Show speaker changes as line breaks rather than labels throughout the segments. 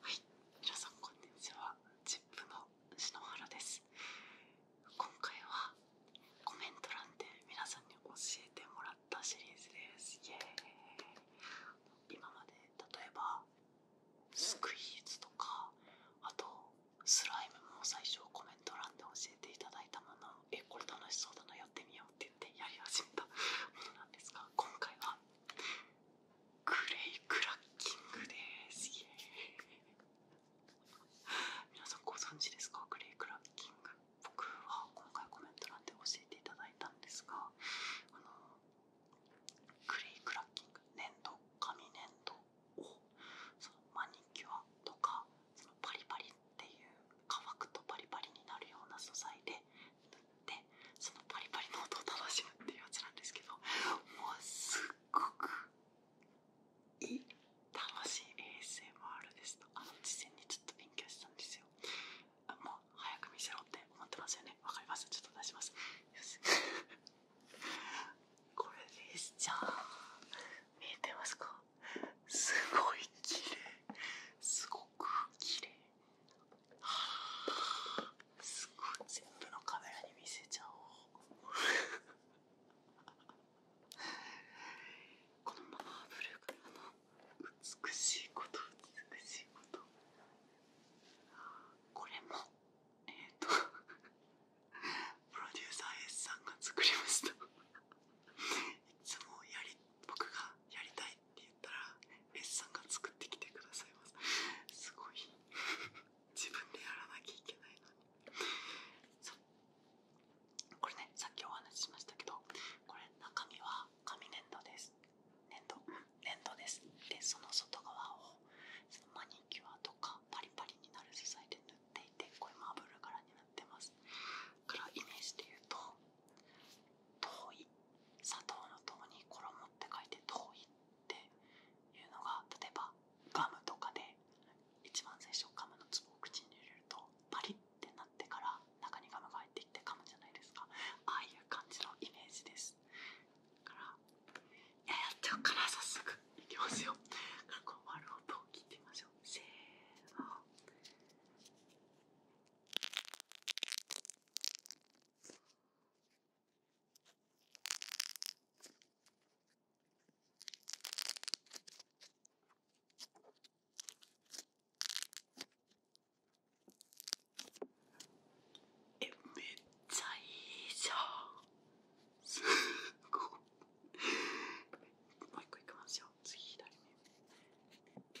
はい皆さんこんにちはチップの篠原です今回はコメント欄で皆さんに教えてもらったシリーズですイエーイ今まで例えばスクイーズとかあとスライムも最初コメント欄で教えていただいたものをえこれ楽しそうだなやってみようって言ってやり始めたものなんですが今回はグレイクラッキングですイエーイ皆さんご存知ですかグレイクラッキング僕は今回コメント欄で教えていただいたんですがグレイクラッキング粘土紙粘土をそのマニキュアとかパリパリっていう乾くとパリパリになるような素材で塗ってそのパリパリの音を楽しむっていうやつなんですけどもうすっごくいい楽しい ASMR でしあの事前にちょっと勉強したんですよもう早く見せろって思ってますよねわかりますちょっと出します これですじゃあ見えてますかすごい綺麗すごく綺麗はあすごい全部のカメラに見せちゃおうこのマーブルからの美しいこと美しいことこれもえっ、とプロデューサー S さんが作りましたいつもやり僕がやりたいって言ったら S さんが作ってきてくださいますすごい自分でやらなきゃいけないこれねさっきお話ししましたけどこれ中身は紙粘土です粘土粘土ですでその外側をマニキュアとかパリパリになる素材で塗っていてこれマーブル柄になってますからイメージで言うと「遠い」砂糖の糖に衣って書いて「遠い」っていうのが例えばガムとかで一番最初ガムの粒を口に入れるとパリッってなってから中にガムが入っていって噛むじゃないですかああいう感じのイメージですだからややっちゃうから早速いきますよからこの丸音を聞いてみましょうせーのえめっちゃいいじゃんすごいもう一個いきますよ次左目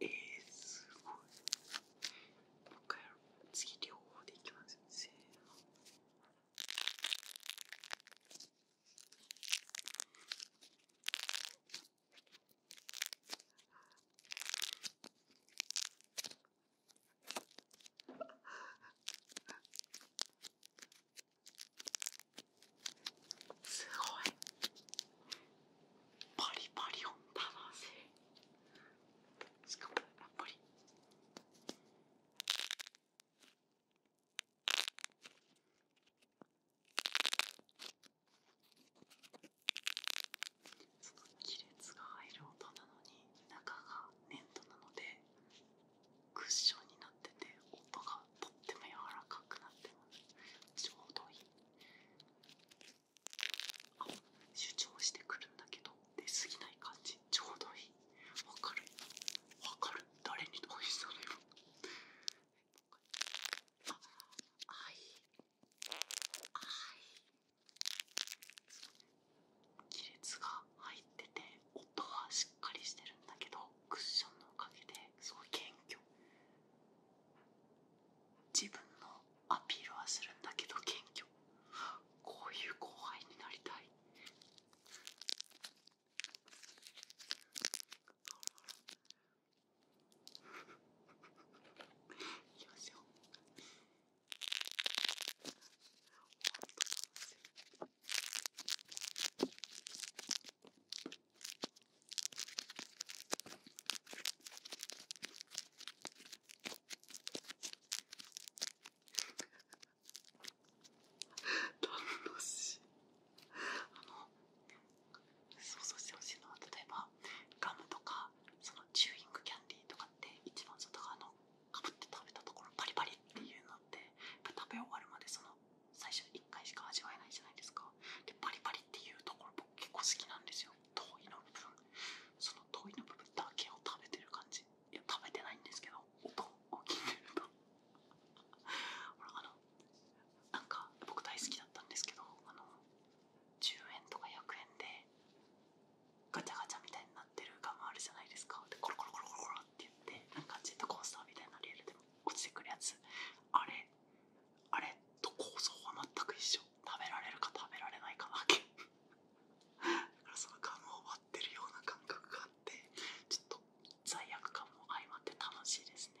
えー、すごい。もう一回できます。すごいパリパリ音たなせしかもやっぱり。亀裂が入る音なのに中が粘土なのでクッションになってて音がとっても柔らかくなってますちょうどいい主張してくるんだけど出過ぎない感じちょうどいいわかるわかる誰にどうしたのよああいあい亀裂が入ってて音はしっかりしてるんだけどクッションのおかげでそう謙虚自分のアピールはするんだけど謙虚こういう後輩になりたいいきましょ楽しいあの想像してほしいのは例えばガムとかそのチューイングキャンディーとかって一番外側のかぶって食べたところパリパリっていうのって食べ終わるまでその最初1回しか味わえないじゃないですかでパリパリっていうところ僕結構好きなんですよ遠いの部分その遠いの部分だけを食べてる感じいや食べてないんですけど音を聞いてるとなんか僕大好きだったんですけどあの10円とか100円でガチャガチャみたいになってるガムあるじゃないですかコロコロコロコロって言ってなんかジェットコースターみたいなリアルでも落ちてくるやつあれあれと構造は全く一緒食べられるか食べられないかだけだからそのガムを割ってるような感覚があってちょっと罪悪感も相まって楽しいですね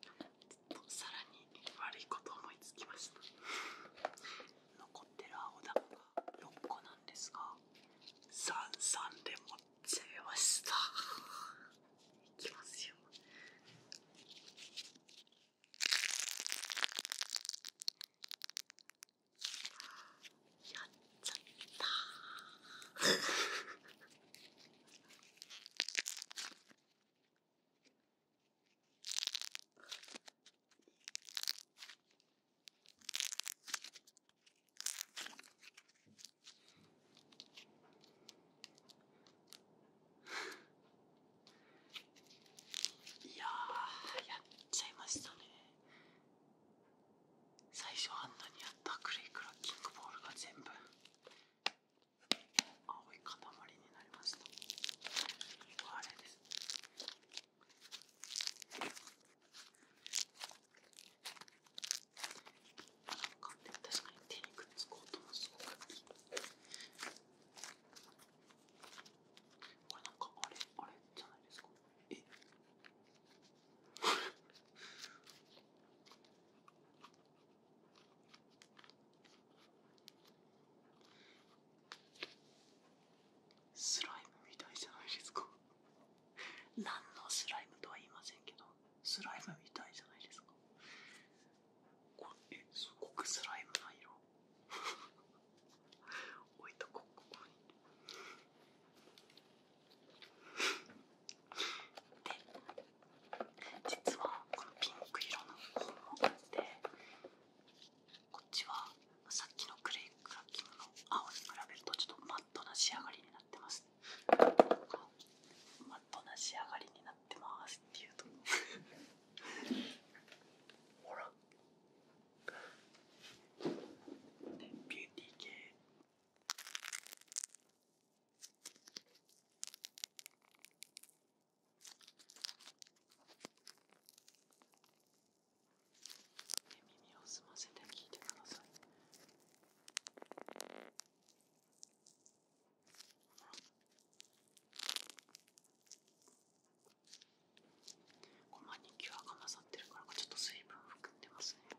ちょっさらに悪いこと思いつきました残ってる青だこが6個なんですが33で持っちゃいましたいきますよやっちゃったいややっちゃいましたね最初あんなにあったクレイクラッキングボールが全部青い塊になりましたあれですなんか確かに手にくっつく音もすごくいいこれなんかあれあれじゃないですかえスライムみたいじゃないですか何のスライムとは言いませんけどスライムみたいじゃないですかこれすごくスライムな色 置いとこここにで実はこのピンク色の方もあってこっちはさっきのクレイクラッキンの青に比べるとちょっとマットな仕上がりになってます、マットな仕上がりになってますっていうとほらでビューティー系耳を澄ませて聞いてください。ごまにキュアが混ざってるからちょっと水分含んでますね。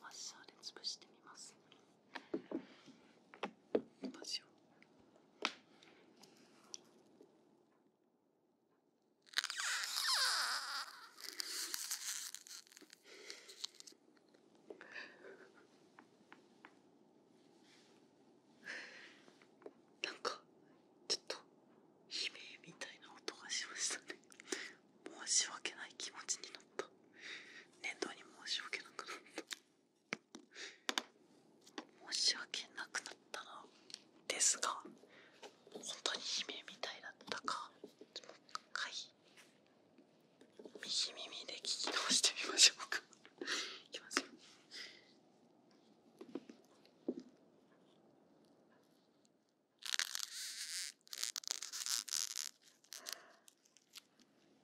マッシャーで潰してみなんかちょっと悲鳴みたいな音がしましたね申し訳ない気持ちになった年度に申し訳なくなった申し訳なくなったなですが本当に悲鳴みたいだったかもう一回右耳で聞き通してみましょうかいきますよ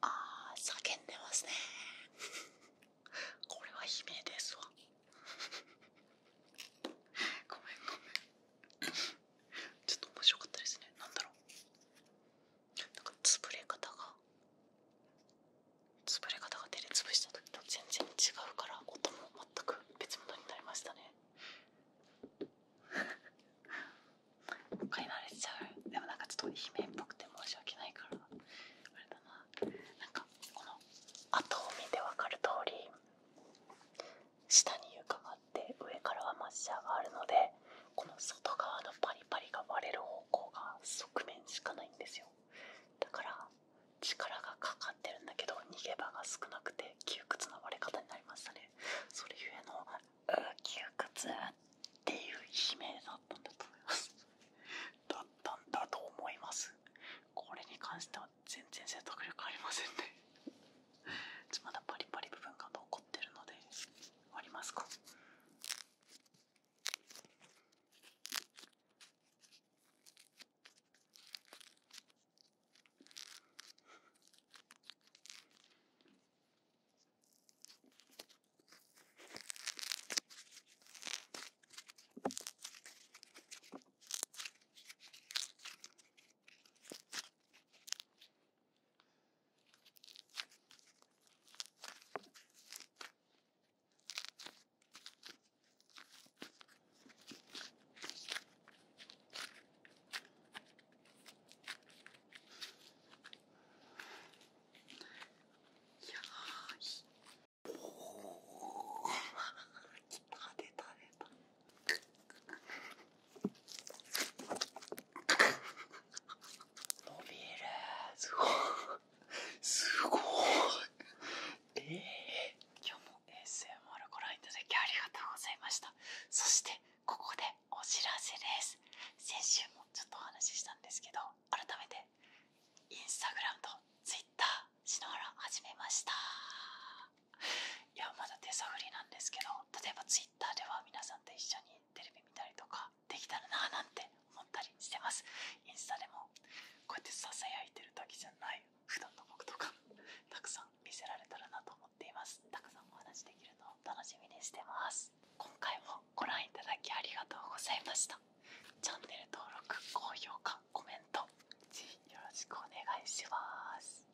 あ叫んでますねこれは悲鳴ですわごめんごめんちょっと面白かったですねなんだろうなんか潰れ方が潰れ方が手で潰した時と全然違うから音も全く別物になりましたねもう買い慣れちゃうでもなんかちょっと姫っぽくて申し訳ないからあれだななんかこの後を見て分かる通り下に床があ上からはマッシャーがあるのでこの外側のパリパリが割れる方向が側面しかないんですよだから力がかかってるんだけど逃げ場が少なくて窮屈な割れ方になりましたねそれゆえの「窮屈」っていう悲鳴だったんだと思います だったんだと思いますこれに関しては全然説得力ありませんねまだパリパリ部分が残ってるので割りますか出た出た伸びるすごいすごいええー、今日も ASMR ご覧いただきありがとうございましたそしてここでお知らせです先週もちょっとお話ししたんですけど改めてインスタグラムとツイッター篠原始めましたいやまだ手探りなんですけど例えば Twitter では皆さんと一緒にテレビ見たりとかできたらなーなんて思ったりしてますインスタでもこうやってささやいてるだけじゃない普段の僕とかたくさん見せられたらなと思っていますたくさんお話できるのを楽しみにしてます今回もご覧いただきありがとうございましたチャンネル登録高評価コメントよろしくお願いします